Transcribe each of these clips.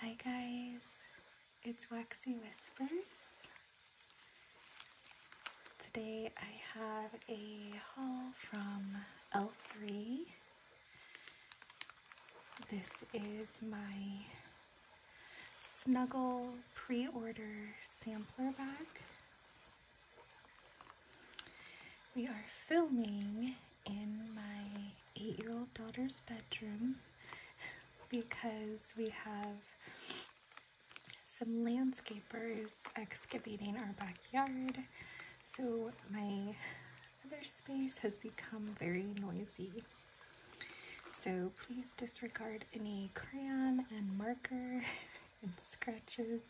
Hi guys, it's Waxy Whispers. Today I have a haul from L3. This is my Snuggle pre-order sampler bag. We are filming in my eight year old daughter's bedroom because we have some landscapers excavating our backyard. So my other space has become very noisy. So please disregard any crayon and marker and scratches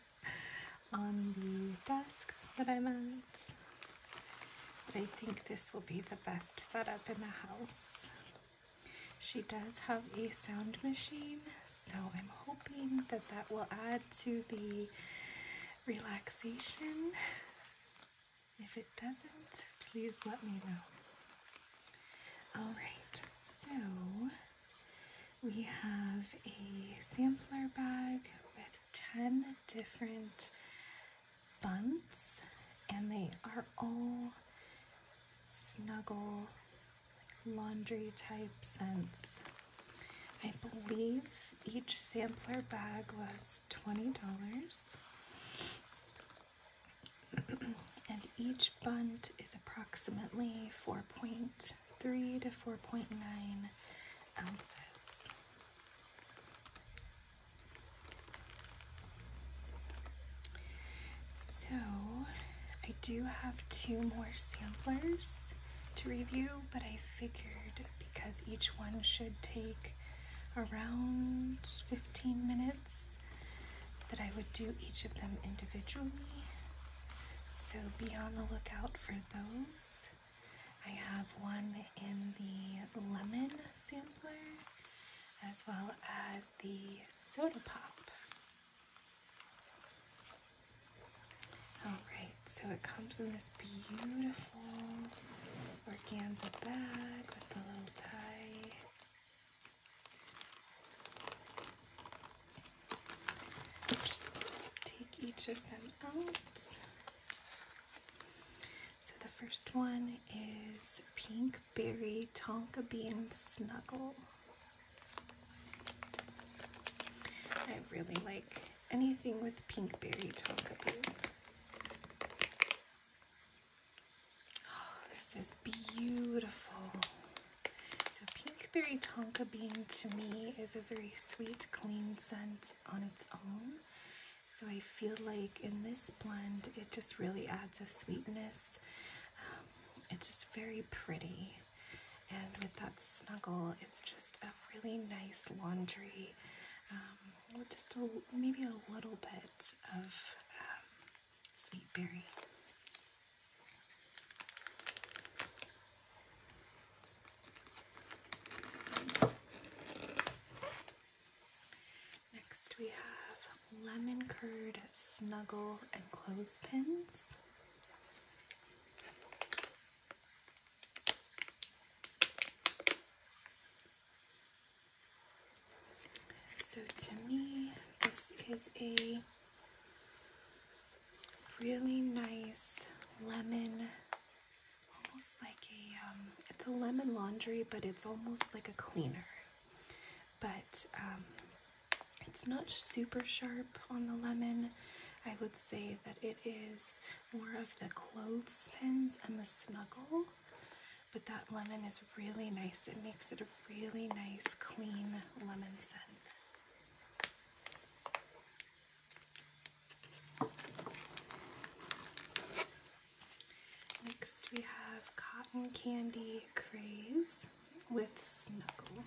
on the desk that I'm at. But I think this will be the best setup in the house. She does have a sound machine, so I'm hoping that that will add to the relaxation. If it doesn't, please let me know. Alright, so we have a sampler bag with 10 different bunts, and they are all snuggle, laundry type scents. I believe each sampler bag was $20. and each bunt is approximately 4.3 to 4.9 so, I do have two more samplers to review, but I figured because each one should take around 15 minutes that I would do each of them individually. So be on the lookout for those. I have one in the lemon sampler as well as the soda pop. Alright, so it comes in this beautiful organza bag with the little tie. Just take each of them out. So the first one is Pink Berry Tonka Bean Snuggle. I really like anything with pink berry tonka bean. Oh, this is beautiful. So pink berry tonka bean to me is a very sweet, clean scent on its own. So I feel like in this blend, it just really adds a sweetness. Um, it's just very pretty. And with that snuggle, it's just a really nice laundry um, with just a, maybe a little bit of um, sweet berry. Next we have lemon curd snuggle and clothespins. So to me, this is a really nice lemon almost like a um, it's a lemon laundry but it's almost like a cleaner but um, it's not super sharp on the lemon I would say that it is more of the clothespins and the snuggle but that lemon is really nice it makes it a really nice clean lemon scent Next we have Cotton Candy Craze with Snuggle.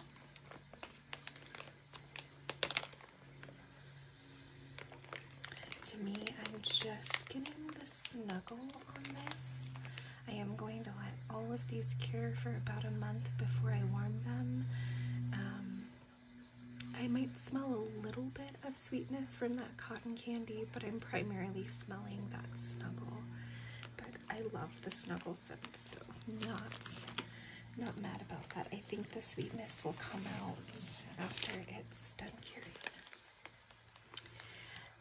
To me, I'm just getting the snuggle on this. I am going to let all of these cure for about a month before I warm them. Um, I might smell a little bit of sweetness from that cotton candy, but I'm primarily smelling that snuggle. But I love the snuggle scent, so not not mad about that. I think the sweetness will come out after it's done curing.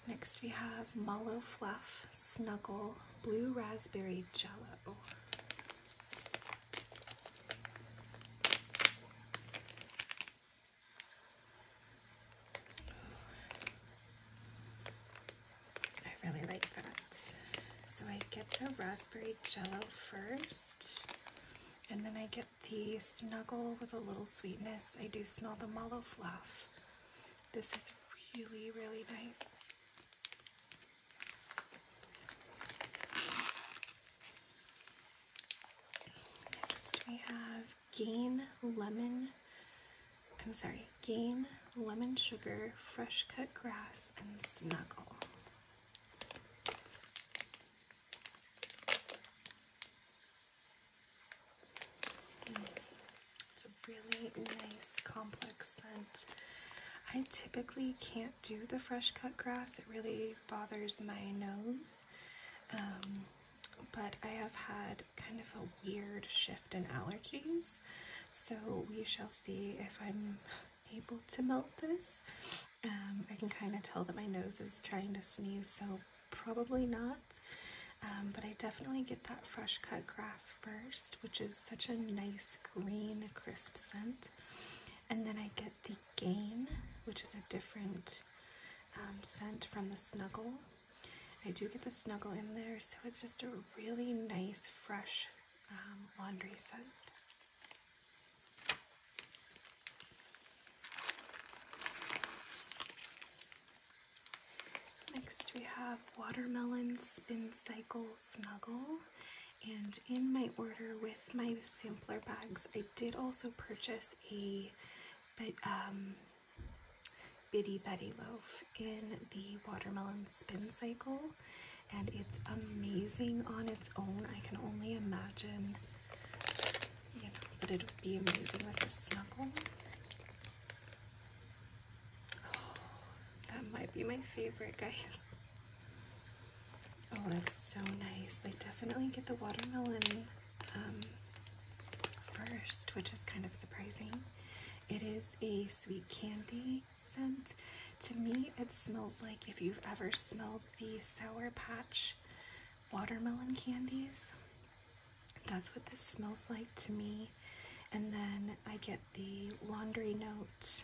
Next we have Mallow Fluff Snuggle Blue Raspberry Jello. I really like that. So I get the raspberry jello first, and then I get the snuggle with a little sweetness. I do smell the mallow fluff. This is really, really nice. Next we have Gain Lemon, I'm sorry, Gain Lemon Sugar, Fresh Cut Grass, and Snuggle. It's a really nice complex scent. I typically can't do the fresh cut grass, it really bothers my nose. Um, but I have had kind of a weird shift in allergies, so we shall see if I'm able to melt this. Um, I can kind of tell that my nose is trying to sneeze, so probably not. Um, but I definitely get that fresh cut grass first, which is such a nice green, crisp scent. And then I get the Gain, which is a different um, scent from the Snuggle. I do get the Snuggle in there, so it's just a really nice, fresh um, laundry scent. Next we have Watermelon Spin Cycle Snuggle. And in my order with my sampler bags, I did also purchase a um, Biddy Betty loaf in the Watermelon Spin Cycle. And it's amazing on its own. I can only imagine you know, that it would be amazing with a snuggle. Oh, that might be my favorite, guys. Oh, that's so nice. I definitely get the watermelon um, first, which is kind of surprising. It is a sweet candy scent. To me, it smells like if you've ever smelled the Sour Patch watermelon candies. That's what this smells like to me. And then I get the laundry note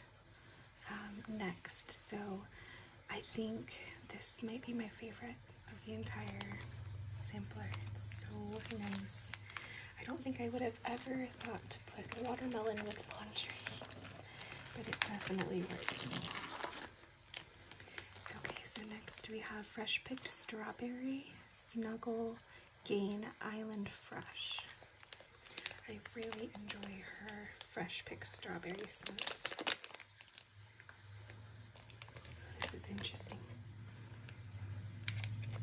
um, next. So I think this might be my favorite of the entire sampler. It's so nice. I don't think I would have ever thought to put watermelon with laundry, but it definitely works. Okay, so next we have Fresh Picked Strawberry Snuggle Gain Island Fresh. I really enjoy her Fresh Picked Strawberry scent. This is interesting.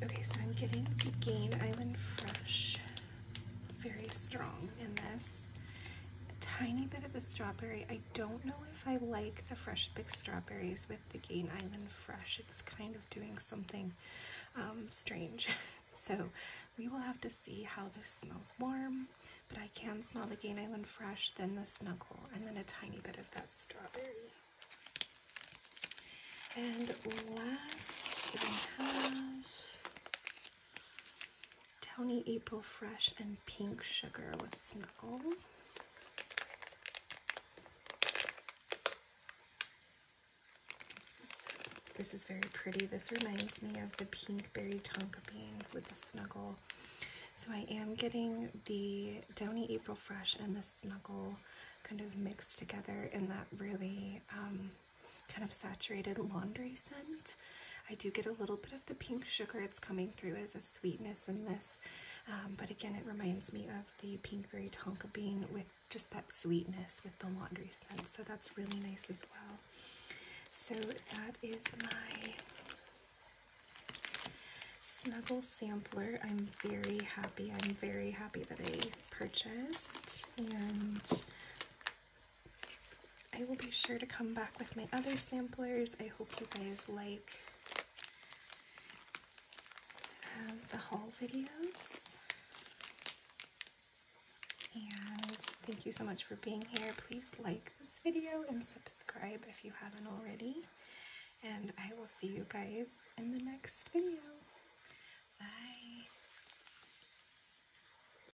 Okay, so I'm getting Gain Island Fresh. Very strong in this. A tiny bit of the strawberry. I I don't know if I like the fresh picked strawberries with the Gain Island Fresh. It's kind of doing something um, strange. So we will have to see how this smells warm, but I can smell the Gain Island Fresh, then the Snuggle, and then a tiny bit of that strawberry. And last, we have Downy April Fresh and Pink Sugar with Snuggle. This is, this is very pretty. This reminds me of the Pink Berry Tonka Bean with the Snuggle. So I am getting the Downy April Fresh and the Snuggle kind of mixed together in that really um, kind of saturated laundry scent. I do get a little bit of the pink sugar. It's coming through as a sweetness in this. Um, but again, it reminds me of the Pinkberry Tonka Bean with just that sweetness with the laundry scent. So that's really nice as well. So that is my Snuggle Sampler. I'm very happy. I'm very happy that I purchased. And I will be sure to come back with my other samplers. I hope you guys like um, the haul videos. And thank you so much for being here. Please like this video and subscribe if you haven't already. And I will see you guys in the next video. Bye.